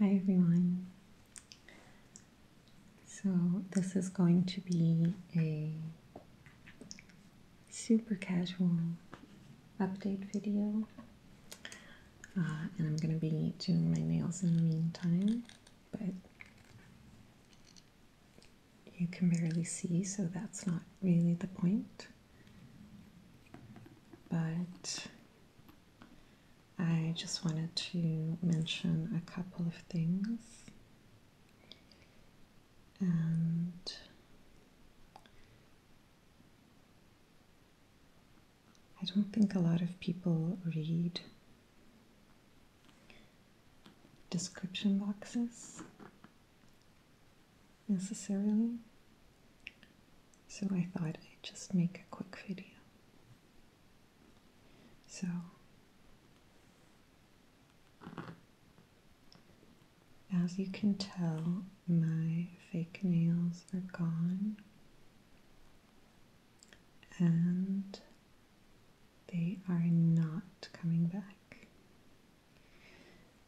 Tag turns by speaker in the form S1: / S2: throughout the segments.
S1: Hi everyone. So, this is going to be a super casual update video, uh, and I'm going to be doing my nails in the meantime, but you can barely see, so that's not really the point. But I just wanted to mention a couple of things and I don't think a lot of people read description boxes necessarily. So I thought I'd just make a quick video. So as you can tell, my fake nails are gone and they are not coming back.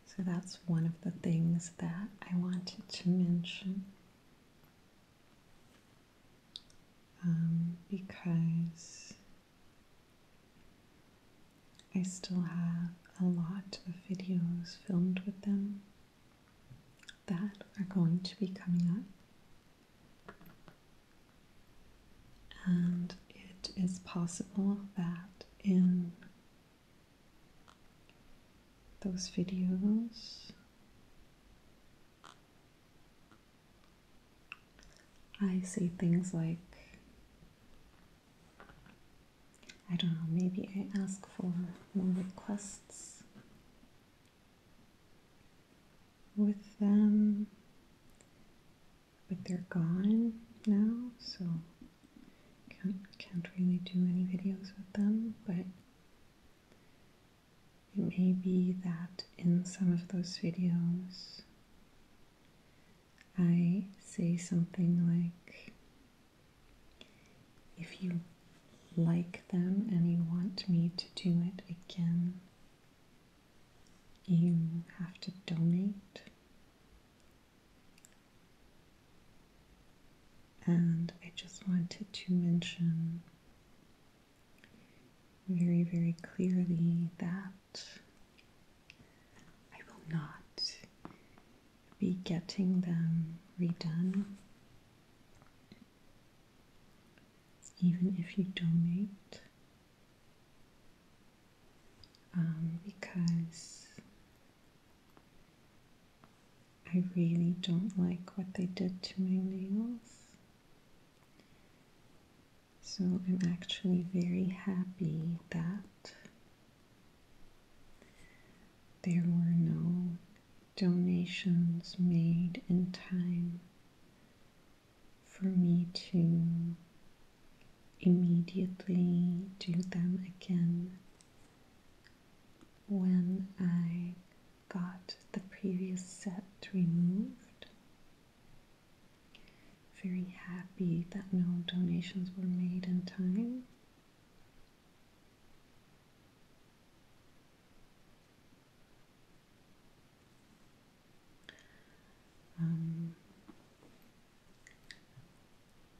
S1: So that's one of the things that I wanted to mention um, because I still have a lot of videos filmed with them that are going to be coming up. And it is possible that in those videos. I say things like, I don't know, maybe I ask for more requests with them, but they're gone now, so can't, can't really do any videos with them, but it may be that in some of those videos I say something like, if you like them and you want me to do it again, you have to donate. And I just wanted to mention very, very clearly that I will not be getting them redone. Even if you donate, um, because I really don't like what they did to my nails. So I'm actually very happy that there were no donations made in time for me to immediately do them again when I got the previous set removed. Very happy that no donations were made in time. Um,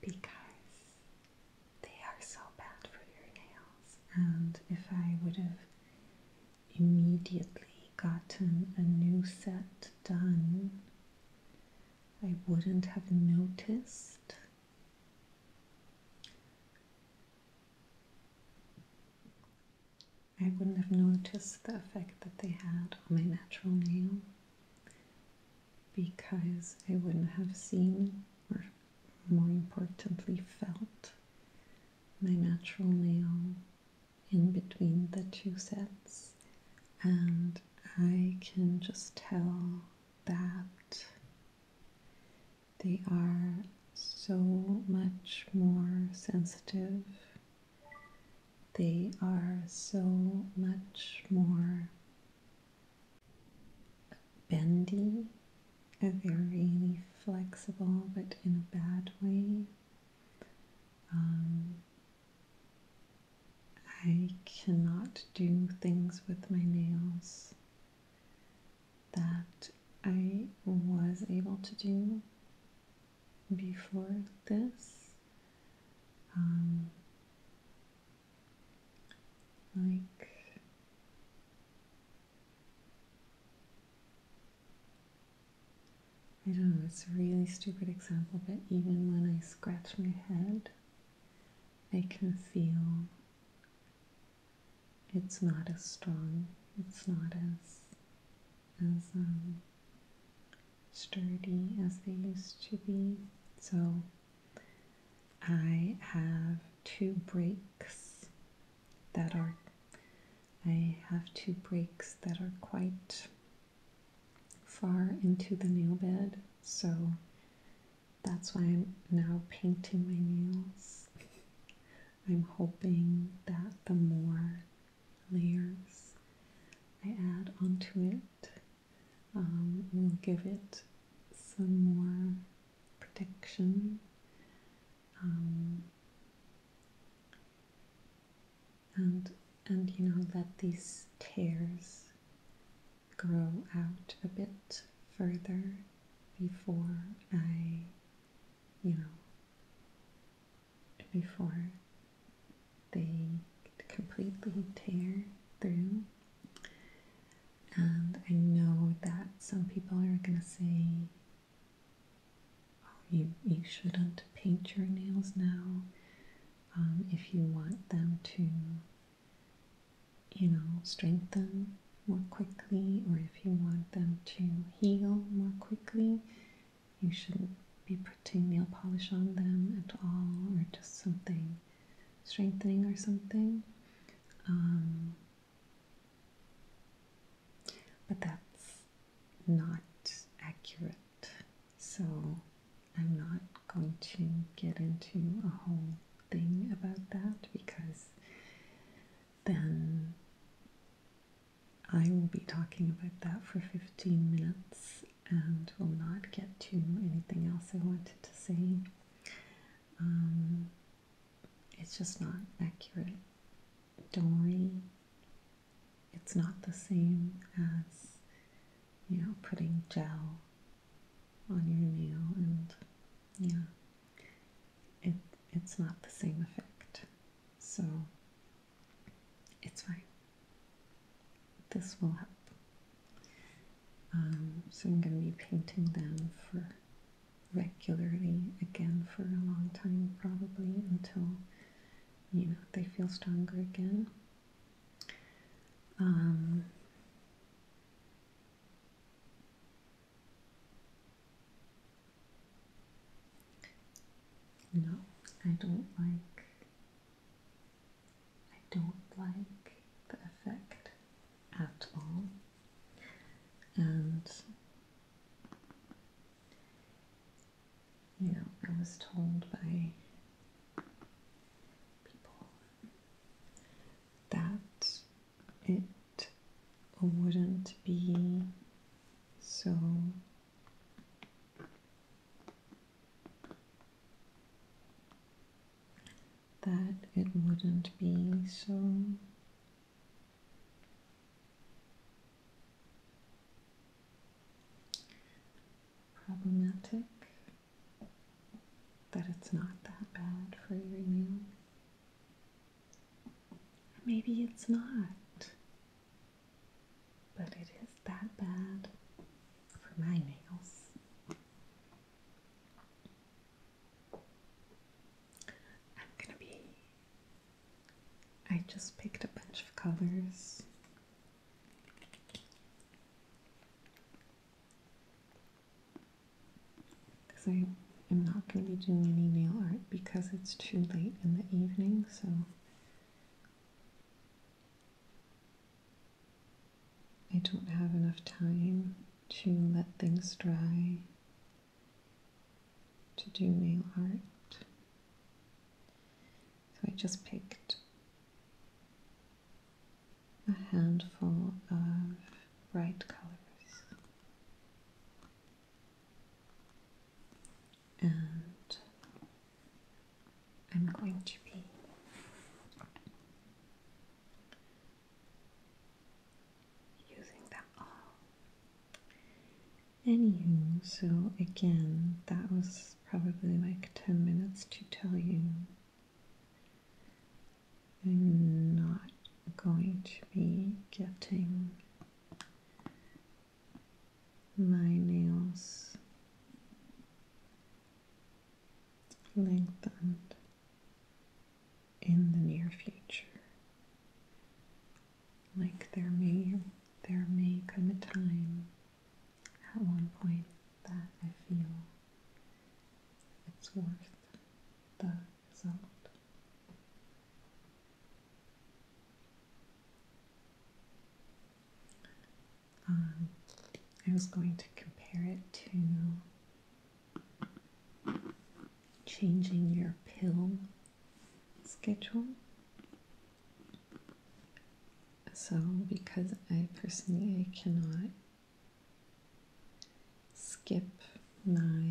S1: because they are so bad for your nails. And if I would have immediately gotten a new set done, I wouldn't have noticed. I wouldn't have noticed the effect that they had on my natural nail because I wouldn't have seen or more importantly, felt my natural nail in between the two sets, and I can just tell that they are so much more sensitive. They are so much more bendy, a very flexible but in a bad way. Um, I cannot do things with my nails that I was able to do before this. Um, like I don't know, it's a really stupid example, but even when I scratch my head, I can feel it's not as strong, it's not as as um, sturdy as they used to be. So I have two breaks that are I have two breaks that are quite far into the nail bed, so that's why I'm now painting my nails. I'm hoping that the more layers I add onto it um, will give it some more protection. Um, and and you know that these tears grow out a bit further before I you know before they completely tear through and I know that some people are going to say, oh, you, you shouldn't paint your nails now um, if you want them to, you know, strengthen more quickly or if you want them to heal more quickly. You shouldn't be putting nail polish on them at all or just something strengthening or something. Um, but that's not accurate. So I'm not going to get into a whole thing about that because then I will be talking about that for 15 minutes and will not get to anything else I wanted to say. Um, it's just not accurate. Don't worry, it's not the same as, you know, putting gel on your nail and, yeah, it, it's not the same effect. So, it's fine. This will help. Um, so I'm going to be painting them for regularly again for a long time, probably until you know they feel stronger again. Um, no, I don't like. I don't like the effect at all. And you know, I was told by people that it wouldn't be so that it wouldn't be so problematic, that it's not that bad for your nails. Maybe it's not, but it is that bad for my nails. I'm gonna be. I just picked a bunch of colors. Because I am not going to be doing any nail art because it's too late in the evening, so I don't have enough time to let things dry, to do nail art. So I just picked a handful of bright colors and I'm going to be using them all. Anywho, so again, that was probably like 10 minutes to tell you. I'm not going to be getting my nails lengthened in the near future. Like there may there may come a time at one point that I feel it's worth the result. Um, I was going to compare it to changing your pill schedule. So, because I personally cannot skip my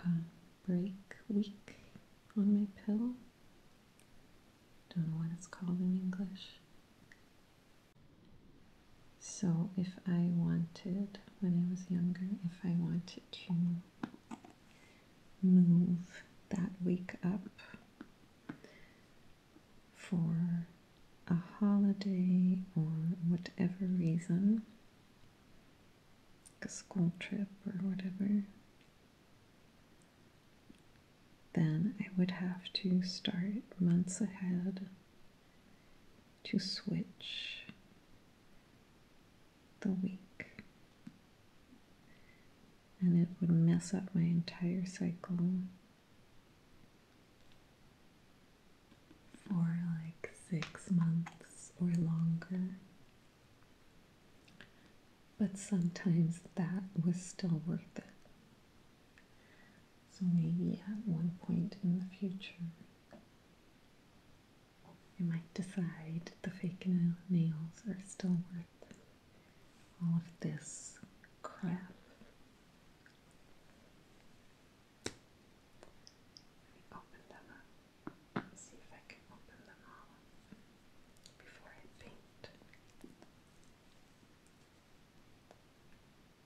S1: uh, break week on my pill, don't know what it's called in English. So, if I wanted, when I was younger, if I wanted to move that week up for a holiday or whatever reason, like a school trip or whatever, then I would have to start months ahead to switch the week. And it would mess up my entire cycle for like six months or longer. But sometimes that was still worth it. So maybe at one point in the future, you might decide the fake nails are still worth all of this crap. Let me open them up see if I can open them all before I paint.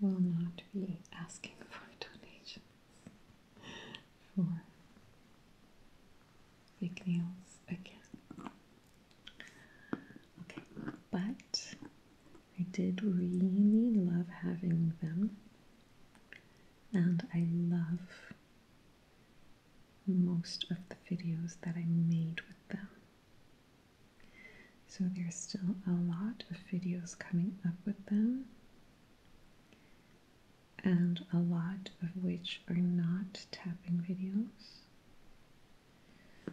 S1: will not be asking for donations for fake nails again. Okay, but I did really love having them, and I love most of the videos that I made with them. So there's still a lot of videos coming up with them, and a lot of which are not tapping videos.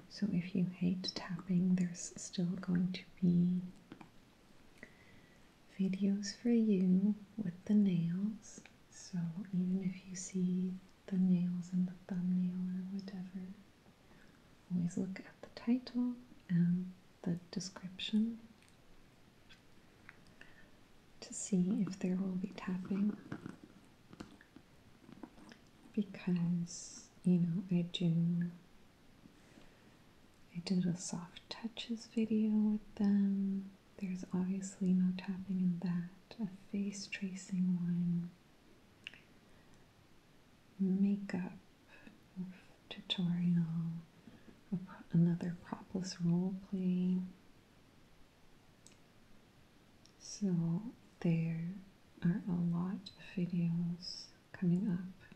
S1: So if you hate tapping, there's still going to be videos for you with the nails. So even if you see the nails in the thumbnail or whatever, always look at the title and the description to see if there will be tapping because you know I do I did a soft touches video with them there's obviously no tapping in that. A face tracing line. Makeup tutorial. Another propless role play. So there are a lot of videos coming up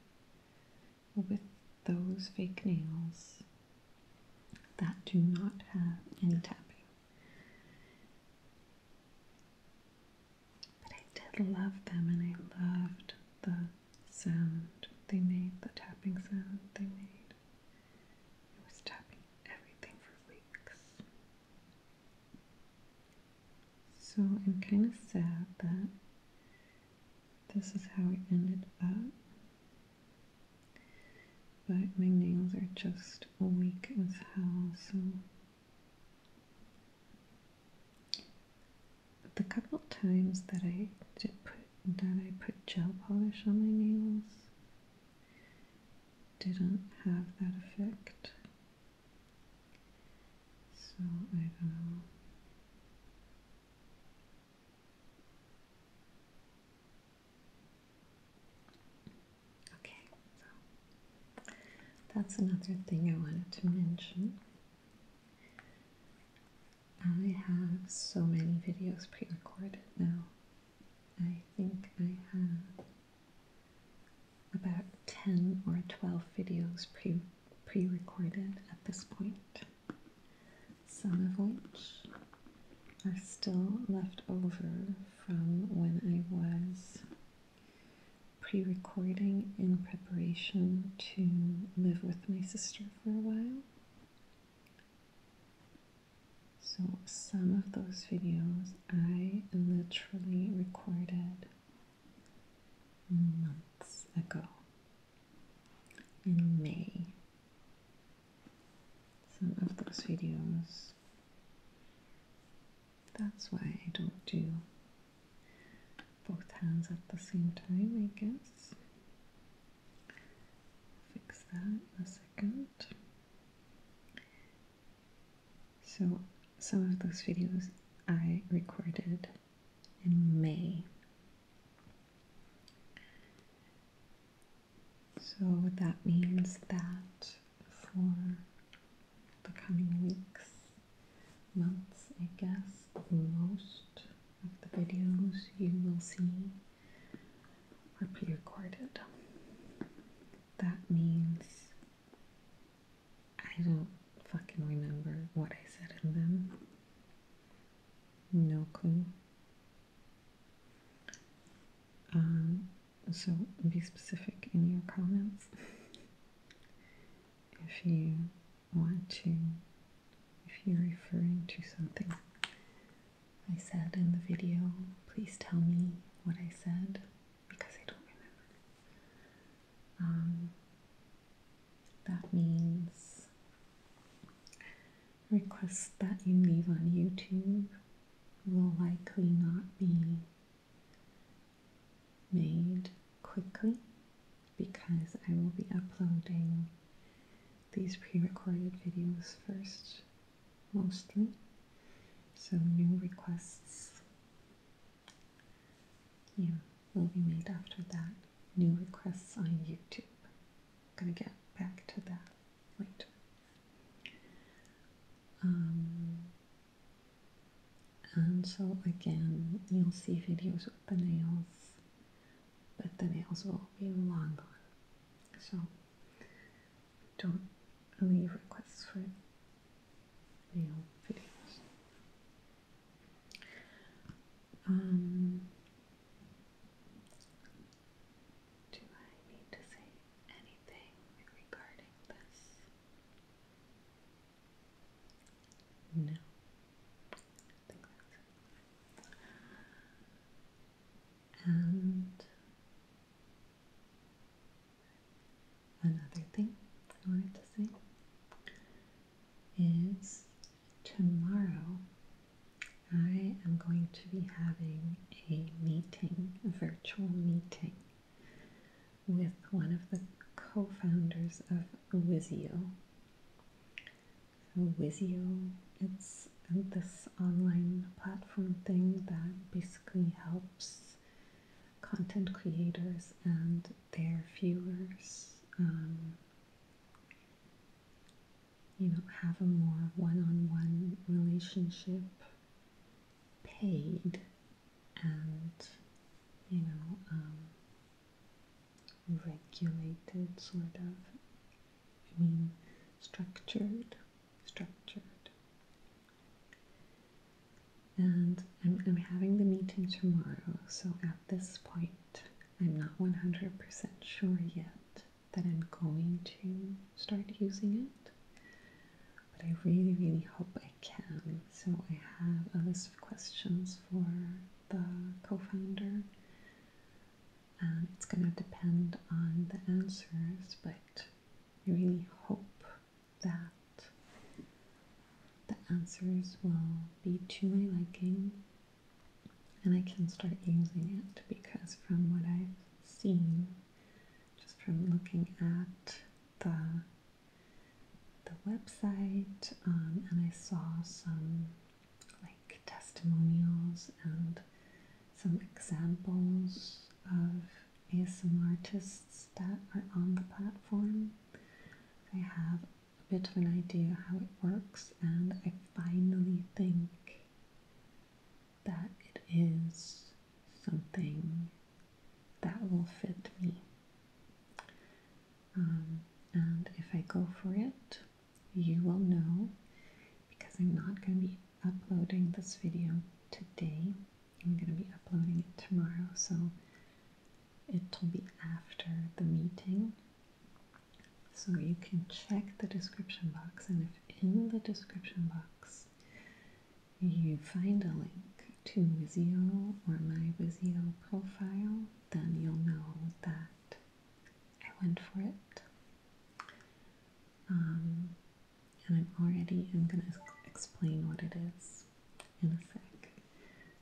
S1: with those fake nails that do not have any tapping. But I did love them and I loved the sound they made, the tapping sound they made. It was tapping everything for weeks. So I'm kind of sad that this is how it ended up. But my nails are just weak as hell, so the couple times that I did put that I put gel polish on my nails didn't have that effect. So I don't know. Okay, so that's another thing I wanted to mention. I have so many videos pre recorded now. I think I have about 10 or 12 videos pre pre recorded at this point some of which are still left over from when I was pre recording in preparation to live with my sister for a while. So, some of those videos I literally recorded months ago in May. Some of those videos. That's why I don't do both hands at the same time, I guess. Fix that in a second. So, some of those videos I recorded in May so that means that for the coming weeks, months, I guess, most of the videos you will see are pre recorded. That means I don't fucking remember what I said in them. No clue. Um, so be specific in your comments if you want to, if you're referring to something I said in the video, please tell me what I said because I don't remember. Um, that means requests that you leave on YouTube will likely not be made quickly because I will be uploading these pre-recorded videos first mostly so new requests yeah will be made after that new requests on YouTube gonna get back to that later. Um, and so again, you'll see videos of the nails, but the nails will be long So don't leave requests for nail videos. Um, do I need to say anything regarding this? No. I another thing I wanted to say is tomorrow I am going to be having a meeting, a virtual meeting, with one of the co founders of Wizio. Wizio, it's this online platform thing that basically helps content creators and their viewers um, you know, have a more one-on-one relationship paid and, you know, um, regulated sort of, I mean, structured, structured. And I'm, I'm having the meeting tomorrow, so at this point, I'm not 100% sure yet that I'm going to start using it. But I really, really hope I can. So I have a list of questions for the co-founder. And um, it's going to depend on the answers, but I really hope that the answers will be to my liking and I can start using it because from what I've seen, just from looking at the the website, um, and I saw some like testimonials and some examples of ASM artists that are on the platform. I have a bit of an idea how it works, and I finally think that it is something that will fit me. Um, and if I go for it, you will know because I'm not going to be uploading this video today. I'm going to be uploading it tomorrow, so it'll be after the meeting. So you can check the description box, and if in the description box you find a link to Wizio or my Wizio profile, then you'll know that I went for it. Um, and I'm already, I'm going to explain what it is in a sec.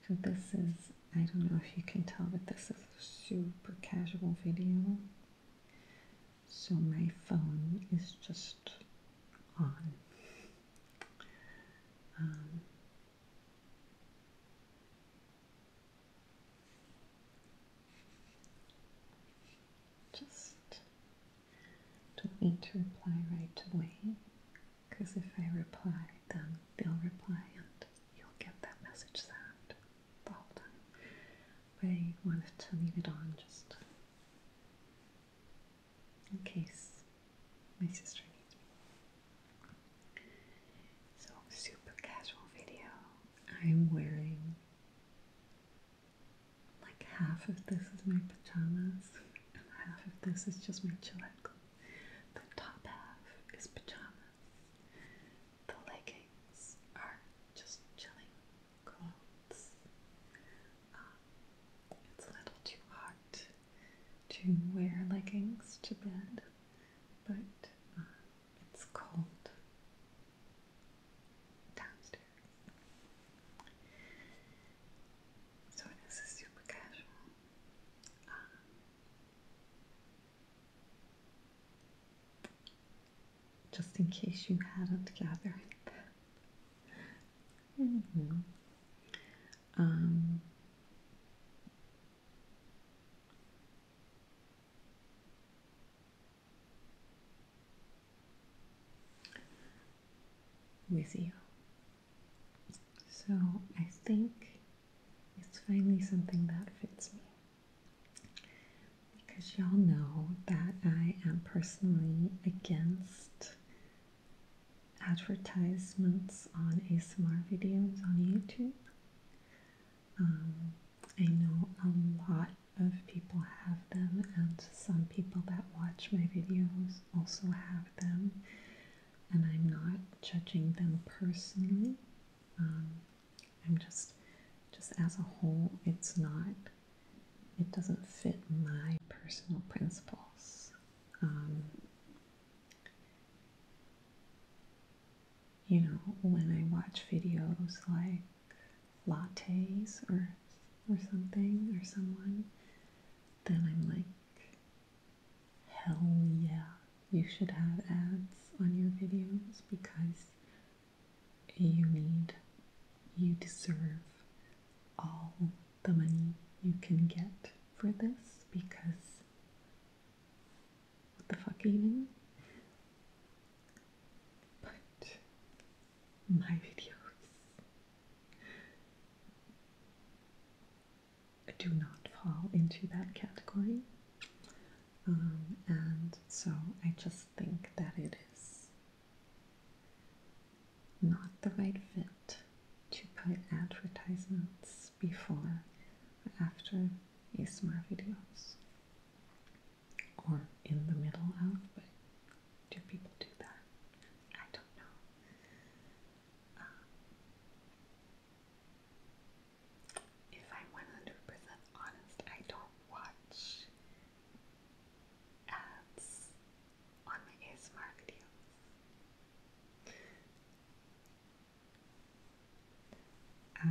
S1: So this is, I don't know if you can tell, but this is super casual video, so my phone is just on. Um, just don't need to reply right away because if I reply, then they'll reply and you'll get that message sent but I wanted to leave it on just in case my sister needs me. So, super casual video. I'm wearing like half of this is my pajamas, and half of this is just my chill The top half is pajamas, the leg things just chilling clothes. Um, it's a little too hot to wear leggings to bed, but uh, it's cold downstairs. So this is super casual. Um, just in case you hadn't gathered that. Mm um, So I think it's finally something that fits me. Because y'all know that I am personally against advertisements on ASMR videos on YouTube. Um, I know a lot of people have them, and some people that watch my videos also have them, and I'm not judging them personally. Um, I'm just, just as a whole, it's not, it doesn't fit my personal principles. Um, you know, when I watch videos like lattes or or something or someone, then I'm like, hell yeah, you should have ads on your videos because you need, you deserve all the money you can get for this because what the fuck even? But my videos do not fall into that category. Um, and so I just think that it is not the right fit to put advertisements before or after ASMR videos or in the middle of, but do people do that? I don't know. Um, if I'm 100% honest, I don't watch ads on my ASMR videos. I,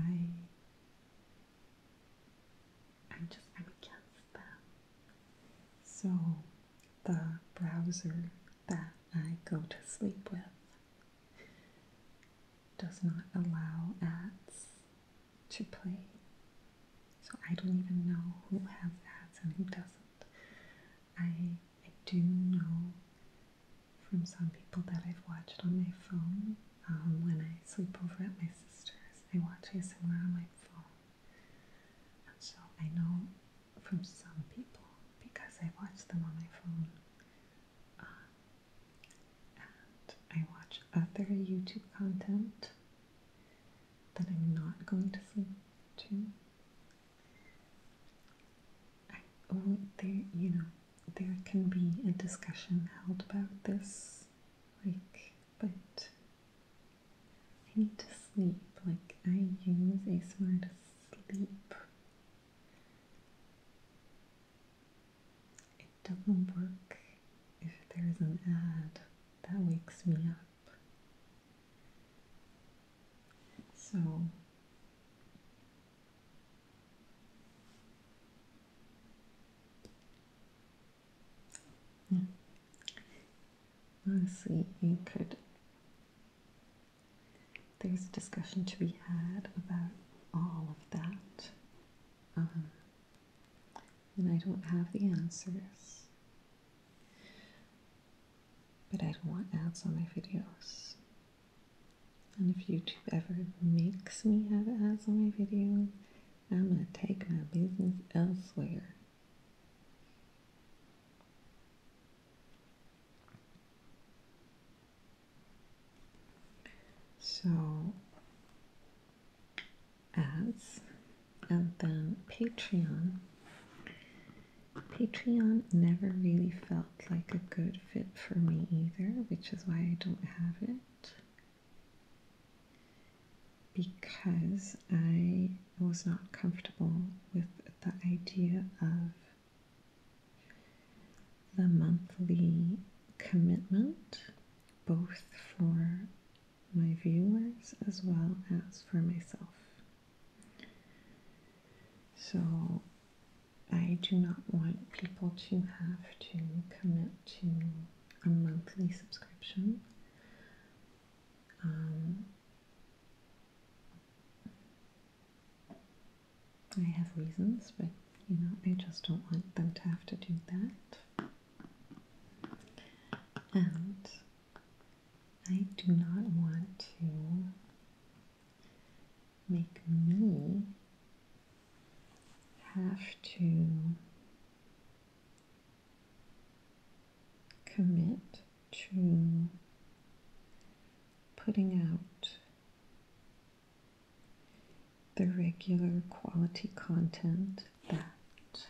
S1: I'm just, I'm against them. So the browser that I go to sleep with does not allow ads to play. So I don't even know who has ads and who doesn't. I, I do know from some people that I've watched on my phone um, when I sleep over at my sister's. I watch ASMR on my phone. And so I know from some people because I watch them on my phone uh, and I watch other YouTube content that I'm not going to sleep to. there, you know, there can be a discussion held about this, like, but I need to sleep. Like, I use ASMR to sleep. It doesn't work if there's an ad that wakes me up. So yeah. Honestly, you could. There's a discussion to be had about all of that um, and I don't have the answers. But I don't want ads on my videos. And if YouTube ever makes me have ads on my videos, I'm going to take my business elsewhere. So ads and then Patreon. Patreon never really felt like a good fit for me either, which is why I don't have it. Because I was not comfortable with the idea of the monthly commitment, both for my viewers as well as for myself. So, I do not want people to have to commit to a monthly subscription. Um, I have reasons, but you know, I just don't want them to have to do that. And I do not want to make me have to commit to putting out the regular quality content that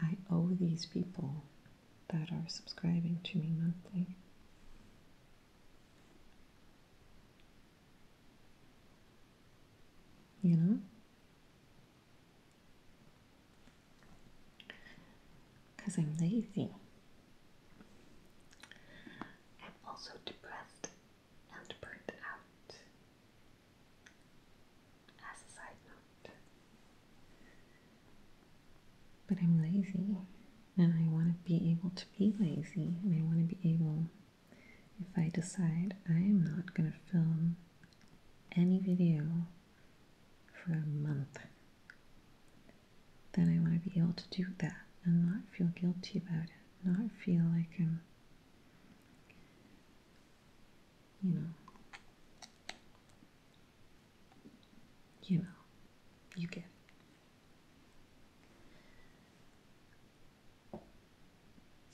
S1: I owe these people that are subscribing to me monthly. You know? Because I'm lazy. I'm also depressed and burnt out. As a side note. But I'm lazy and I want to be able to be lazy and I want to be able, if I decide I am not going to film any video for a month, then I want to be able to do that and not feel guilty about it, not feel like I'm, you know, you know, you get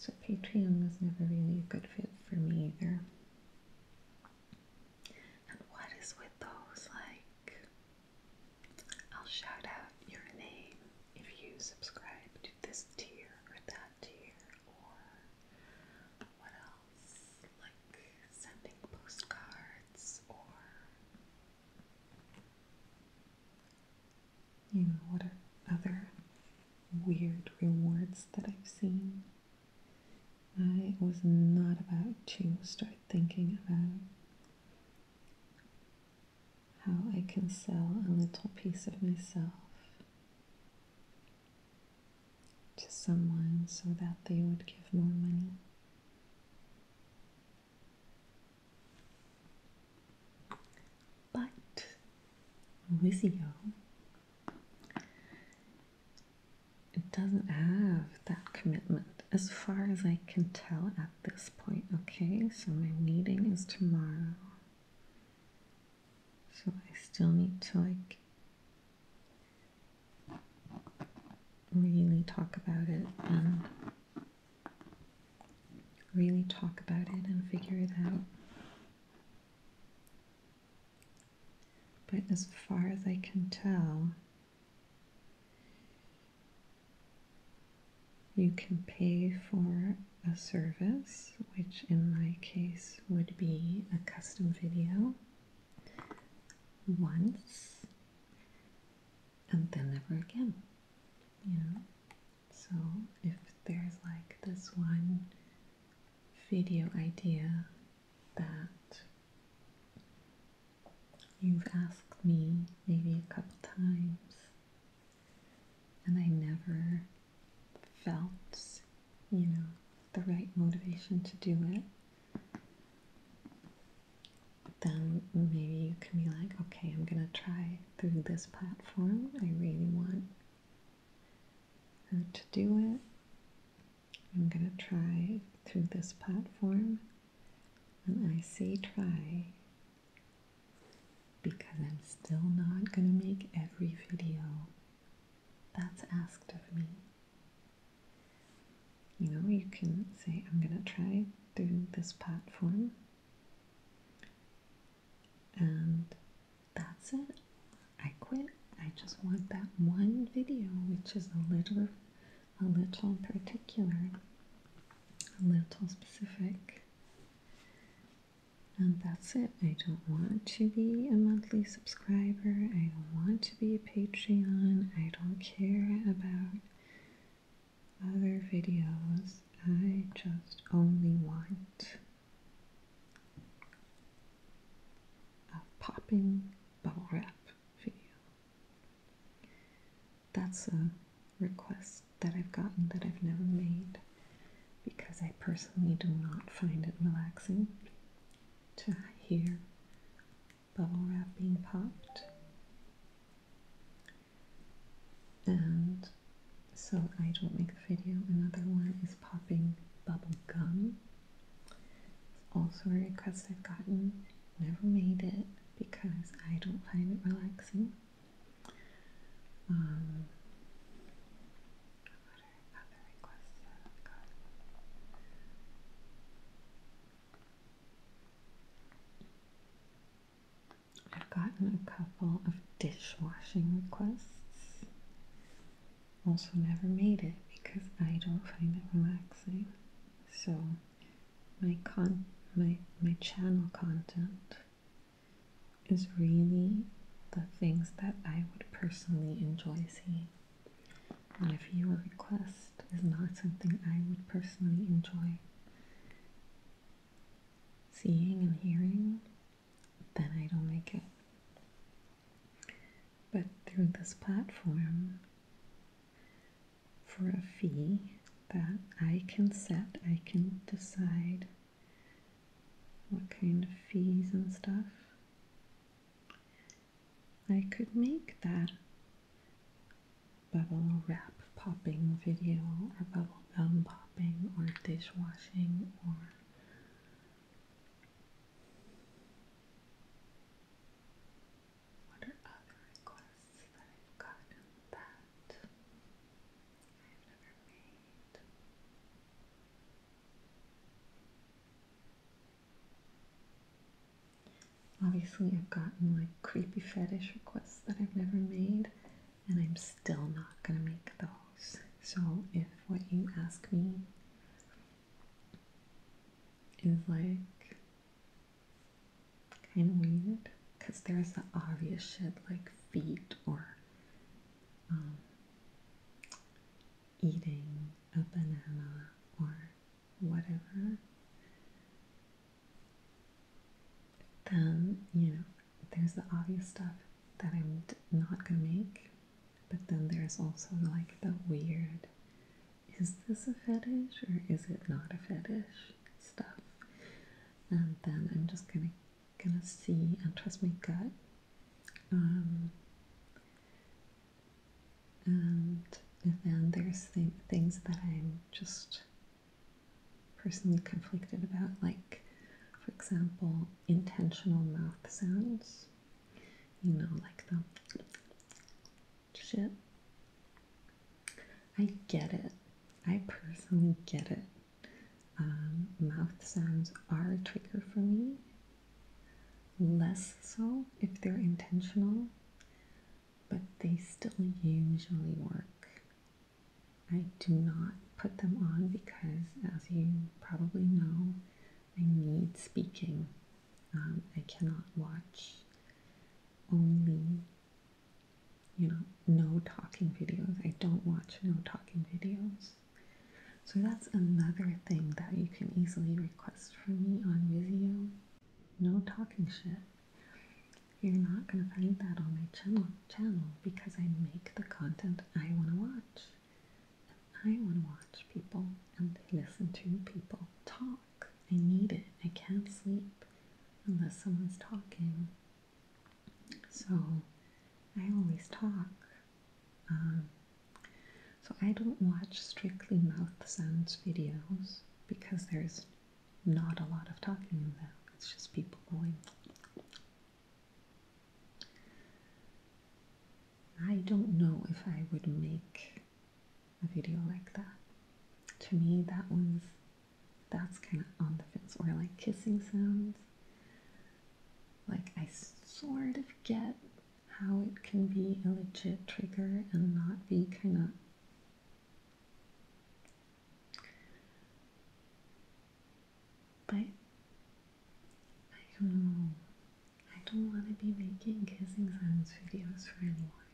S1: So Patreon was never really a good fit for me either. And what is with those like I'll shout out your name if you subscribe to this tier or that tier or what else? Like sending postcards or you know, what are other weird rewards that I've seen? I was not about to start thinking about how I can sell a little piece of myself to someone so that they would give more money. But Lizio doesn't have that commitment as far as I can tell at this point. Okay, so my meeting is tomorrow. So I still need to like really talk about it and really talk about it and figure it out. But as far as I can tell, you can pay for a service, which in my case would be a custom video once and then never again. You know? So if there's like this one video idea that You've asked me maybe a couple times, and I never felt, you know, the right motivation to do it. Then maybe you can be like, okay, I'm gonna try through this platform. I really want to do it. I'm gonna try through this platform. And I say try because I'm still not going to make every video that's asked of me. You know, you can say, I'm going to try through this platform, and that's it. I quit. I just want that one video, which is a little a little particular, a little specific. And that's it. I don't want to be a monthly subscriber. I don't want to be a Patreon. I don't care about other videos. I just only want a popping bubble wrap video that's a request that I've gotten that I've never made because I personally do not find it relaxing to hear bubble wrap being popped. And so I don't make the video. Another one is popping bubble gum. It's also a request I've gotten, never made it because I don't find it relaxing. Um, I've gotten a couple of dishwashing requests. Also, never made it because I don't find it relaxing. So, my con my my channel content is really the things that I would personally enjoy seeing. And if your request is not something I would personally enjoy seeing and hearing, then I don't make it. But through this platform, for a fee that I can set. I can decide what kind of fees and stuff. I could make that bubble wrap popping video or bubble gum popping or dishwashing or what are other requests that I've gotten that I've never made? Obviously, I've gotten like creepy fetish requests that I've never made, and I'm still not gonna make those. So, if what you ask me is like kind of weird because there's the obvious shit like feet or um, eating a banana or whatever. Then, you know, there's the obvious stuff that I'm not gonna make, but then there's also like the weird is this a fetish or is it not a fetish? stuff and then I'm just gonna gonna see and trust my gut um, and then there's th things that I'm just personally conflicted about like for example intentional mouth sounds you know like the shit I get it. I personally get it. Um, mouth sounds are a trigger for me. Less so if they're intentional, but they still usually work. I do not put them on because, as you probably know, I need speaking. Um, I cannot watch only you know, no talking videos. I don't watch no talking videos. So that's another thing that you can easily request from me on Vizio. No talking shit. You're not gonna find that on my channel channel because I make the content I wanna watch. And I wanna watch people and listen to people talk. I need it. I can't sleep unless someone's talking. So I always talk. Um, so I don't watch strictly mouth sounds videos because there's not a lot of talking in them. It's just people going. I don't know if I would make a video like that. To me, that was. That's kind of on the fence. Or like kissing sounds. Like I sort of get how it can be a legit trigger and not be kind of but I don't know. I don't want to be making kissing sounds videos for anyone.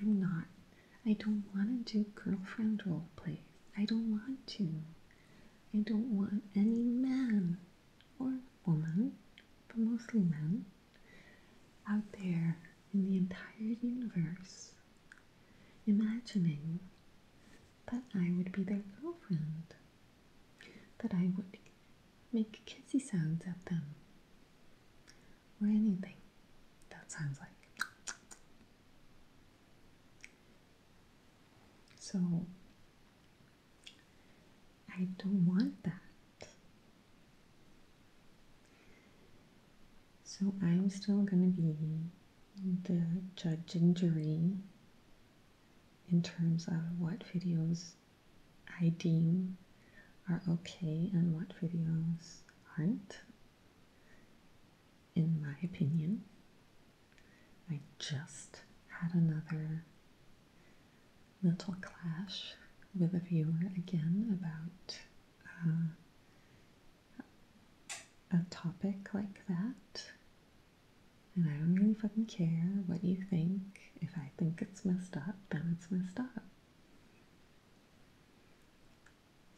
S1: I'm not. I don't want to do girlfriend role play. I don't want to. I don't want any man or woman, but mostly men, out there in the entire universe imagining that I would be their girlfriend, that I would make kissy sounds at them, or anything that sounds like. So I don't want that. So I'm still going to be the judge and jury in terms of what videos I deem are okay and what videos aren't in my opinion. I just had another mental clash with a viewer again about uh, a topic like that. And I don't really fucking care what you think. If I think it's messed up, then it's messed up.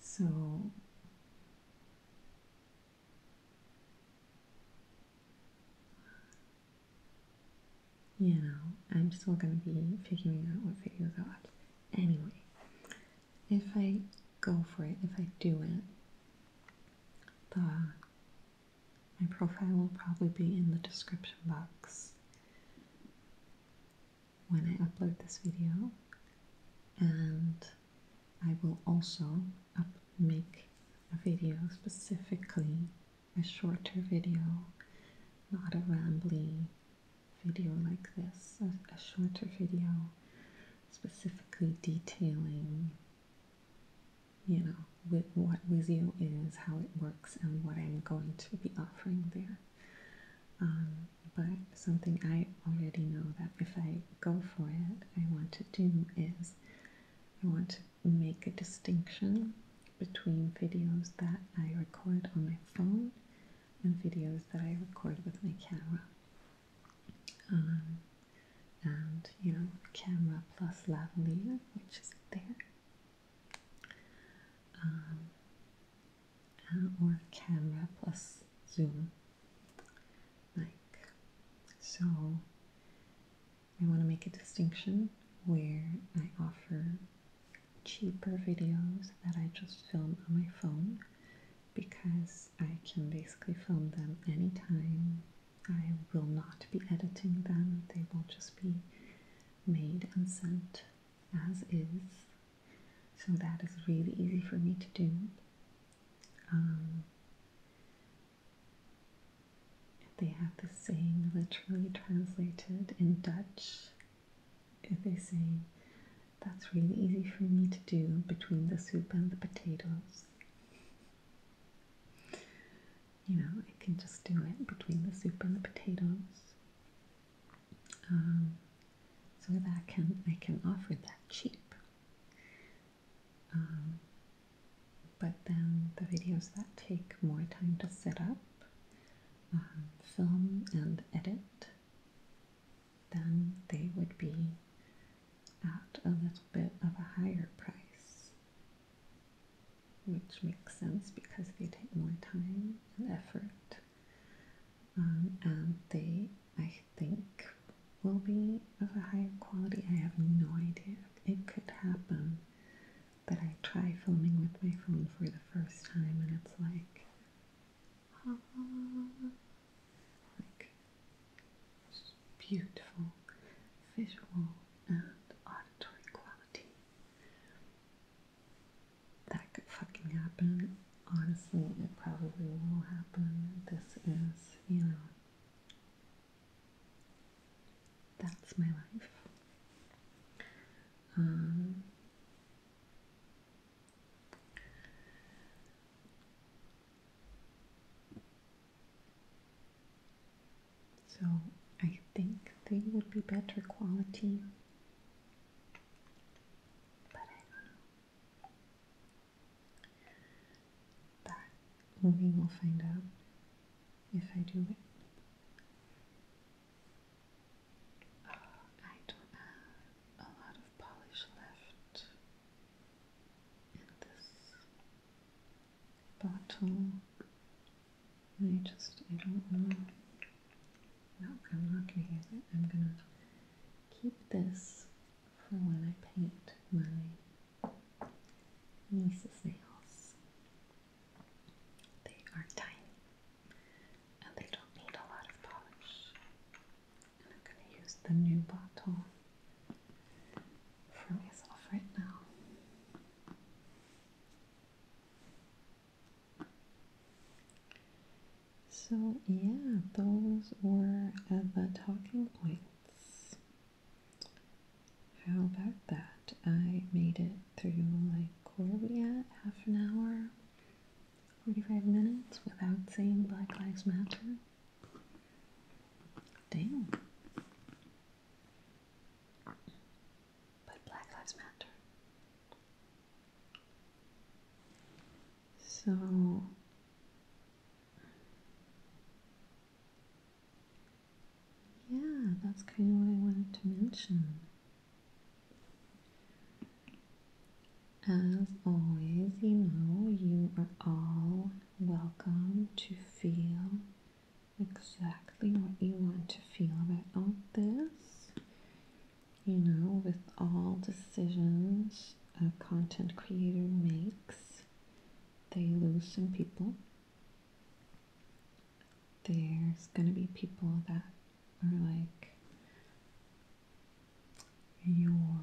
S1: So you know, I'm still gonna be figuring out what videos I'll Anyway, if I go for it, if I do it, the my profile will probably be in the description box when I upload this video and I will also make a video specifically a shorter video not a rambling video like this a, a shorter video specifically detailing you know with what Wizio is how it works and what I'm going to be offering there um, but something I already know that if I go for it, I want to do is I want to make a distinction between videos that I record on my phone and videos that I record with my camera. Um, and you know, camera plus lavalier, which is there. Um, uh, or camera plus zoom like so I want to make a distinction where I offer cheaper videos that I just film on my phone because I can basically film them anytime. I will not be editing them, they will just be made and sent as is so that is really easy for me to do. Um, they have this saying literally translated in Dutch. They say, that's really easy for me to do between the soup and the potatoes. You know, I can just do it between the soup and the potatoes. Um, so that can I can offer that cheap. Um, but then the videos that take more time to set up, um, film and edit, then they would be at a little bit of a higher price, which makes sense because they take more time and effort um, and they, I think, will be of a higher quality. I have no idea. It could happen that I try filming with my phone for the first time, and it's like, ah, like beautiful visual and auditory quality that could fucking happen. Honestly, it probably will happen. This is, you know, that's my life. Um, so I think they would be better quality but I don't know. That movie will find out if I do it. I don't have a lot of polish left in this bottle. I just, I don't know. Nope, I'm not going to use it. I'm going to keep this for when I paint my niece's nails. They are tiny and they don't need a lot of polish. And I'm going to use the new bottle for myself right now. So, yeah, those were the talking points. How about that? I made it through like where are we at? Half an hour, 45 minutes without saying Black Lives Matter? Damn. But Black Lives Matter. So yeah, that's kind of what I wanted to mention. As always, you know, you are all welcome to feel exactly what you want to feel about this you know, with all decisions a content creator makes, they lose some people. There's going to be people that are like, your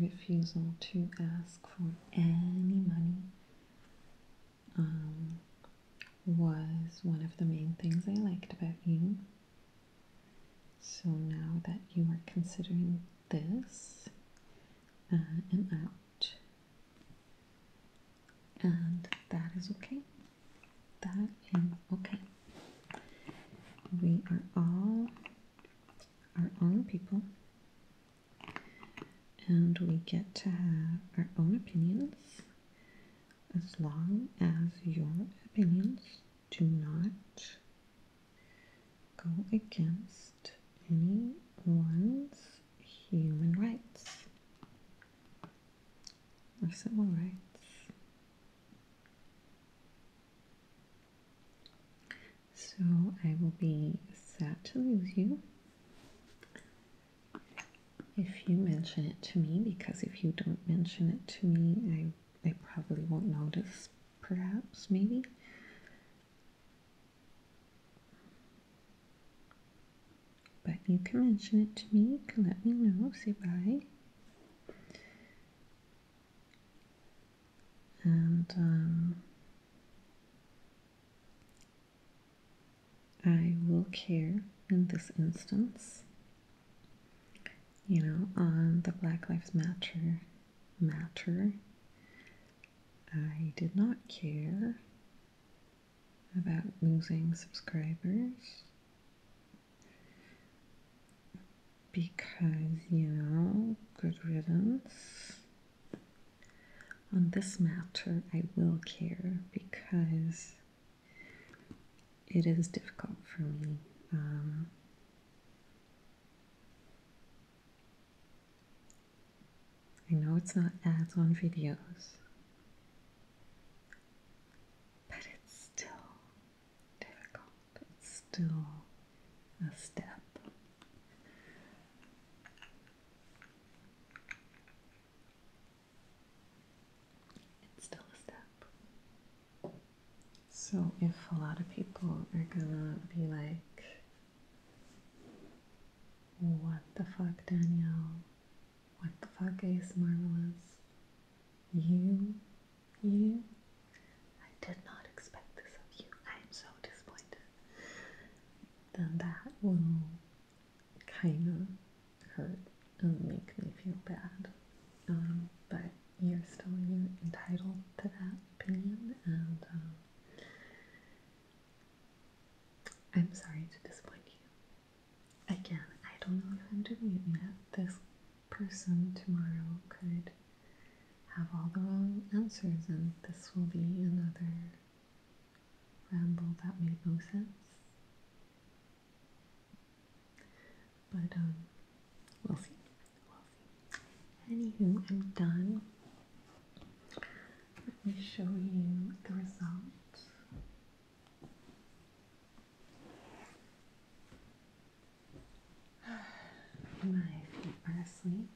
S1: refusal to ask for any money um, was one of the main things I liked about you. So now that you are considering this and uh, out, and that is okay. That is okay. We are all our own people, and we get to have our own opinions as long as your opinions do not go against anyone's human rights or civil rights. So I will be sad to lose you if you mention it to me because if you don't mention it to me, I they probably won't notice, perhaps, maybe. But you can mention it to me, can let me know, say bye. And um, I will care in this instance you know, on the Black Lives Matter matter. I did not care about losing subscribers because, you know, good riddance. On this matter, I will care because it is difficult for me. Um, I know it's not ads on videos, but it's still difficult. It's still a step. It's still a step. So, if a lot of people are gonna be like, What the fuck, Danielle? What the fuck, is Marvelous? You? You? I did not expect this of you. I am so disappointed. Then that will kind of hurt it make me feel bad. Um, but you're still you're entitled to that opinion, and um, I'm sorry to disappoint you. Again, I don't know if I'm doing it yet. This person tomorrow could have all the wrong answers, and this will be another ramble that made no sense. But um, we'll see. we Anywho, I'm done. Let me show you the result. My feet are asleep.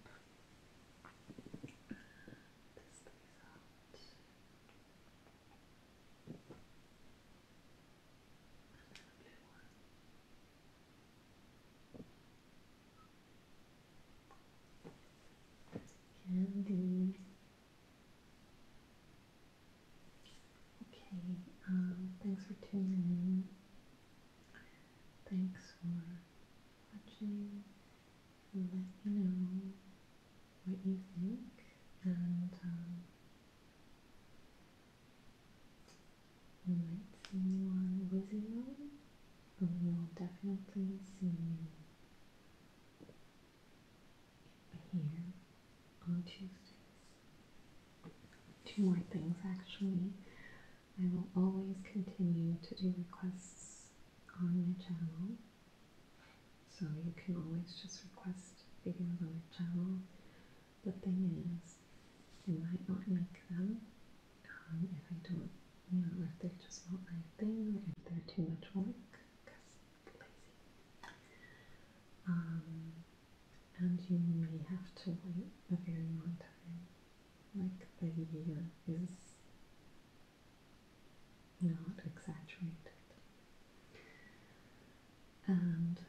S1: This is the result. Candy. Okay, um, thanks for tuning in. Thanks for watching. Let me know what you think and um, we might see you on Wizard Road, but we will definitely see you here on Tuesdays. Two more things actually. I will always continue to do requests on my channel. So you can always just request videos on my channel. The thing is, you might not like them um, if I don't, you know, if they're just not my thing, or if they're too much work, lazy. Um, and you may have to wait a very long time. Like the year is not exaggerated. And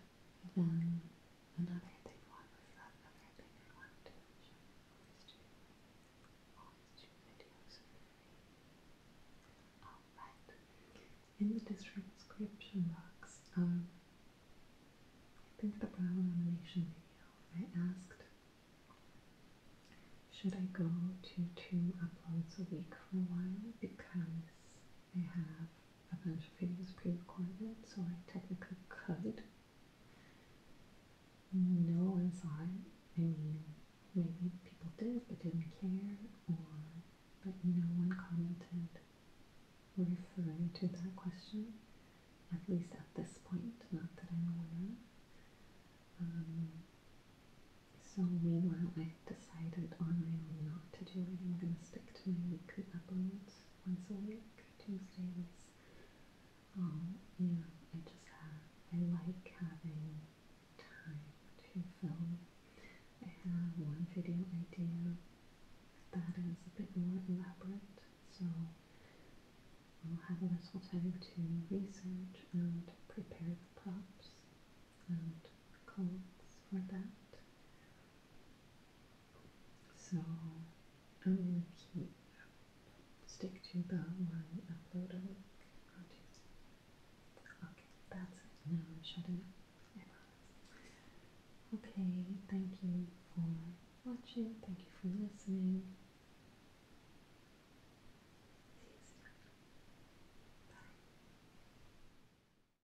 S1: another thing, what was that other thing I wanted to Always do, always do videos Alright, in the description box, um, I think the brow animation video, I asked, should I go to two uploads a week for a while because I have a bunch of videos pre-recorded, so I technically could. No one saw it. I mean, maybe people did but didn't care, or but no one commented referring to that question. At least at this point, not that i know. aware of. Um, so meanwhile, I decided on my own not to do it. I'm going to stick to my weekly uploads once a week, Tuesdays. Um, I just have, I like having time to film. I have one video idea that is a bit more elaborate, so I'll have a little time to research and prepare the props and clothes for that. So I'm gonna keep stick to that one upload a week on Tuesday. Okay, that's it. Now I'm shutting up. I promise. Okay, thank you for watching. Thank you for listening. Bye.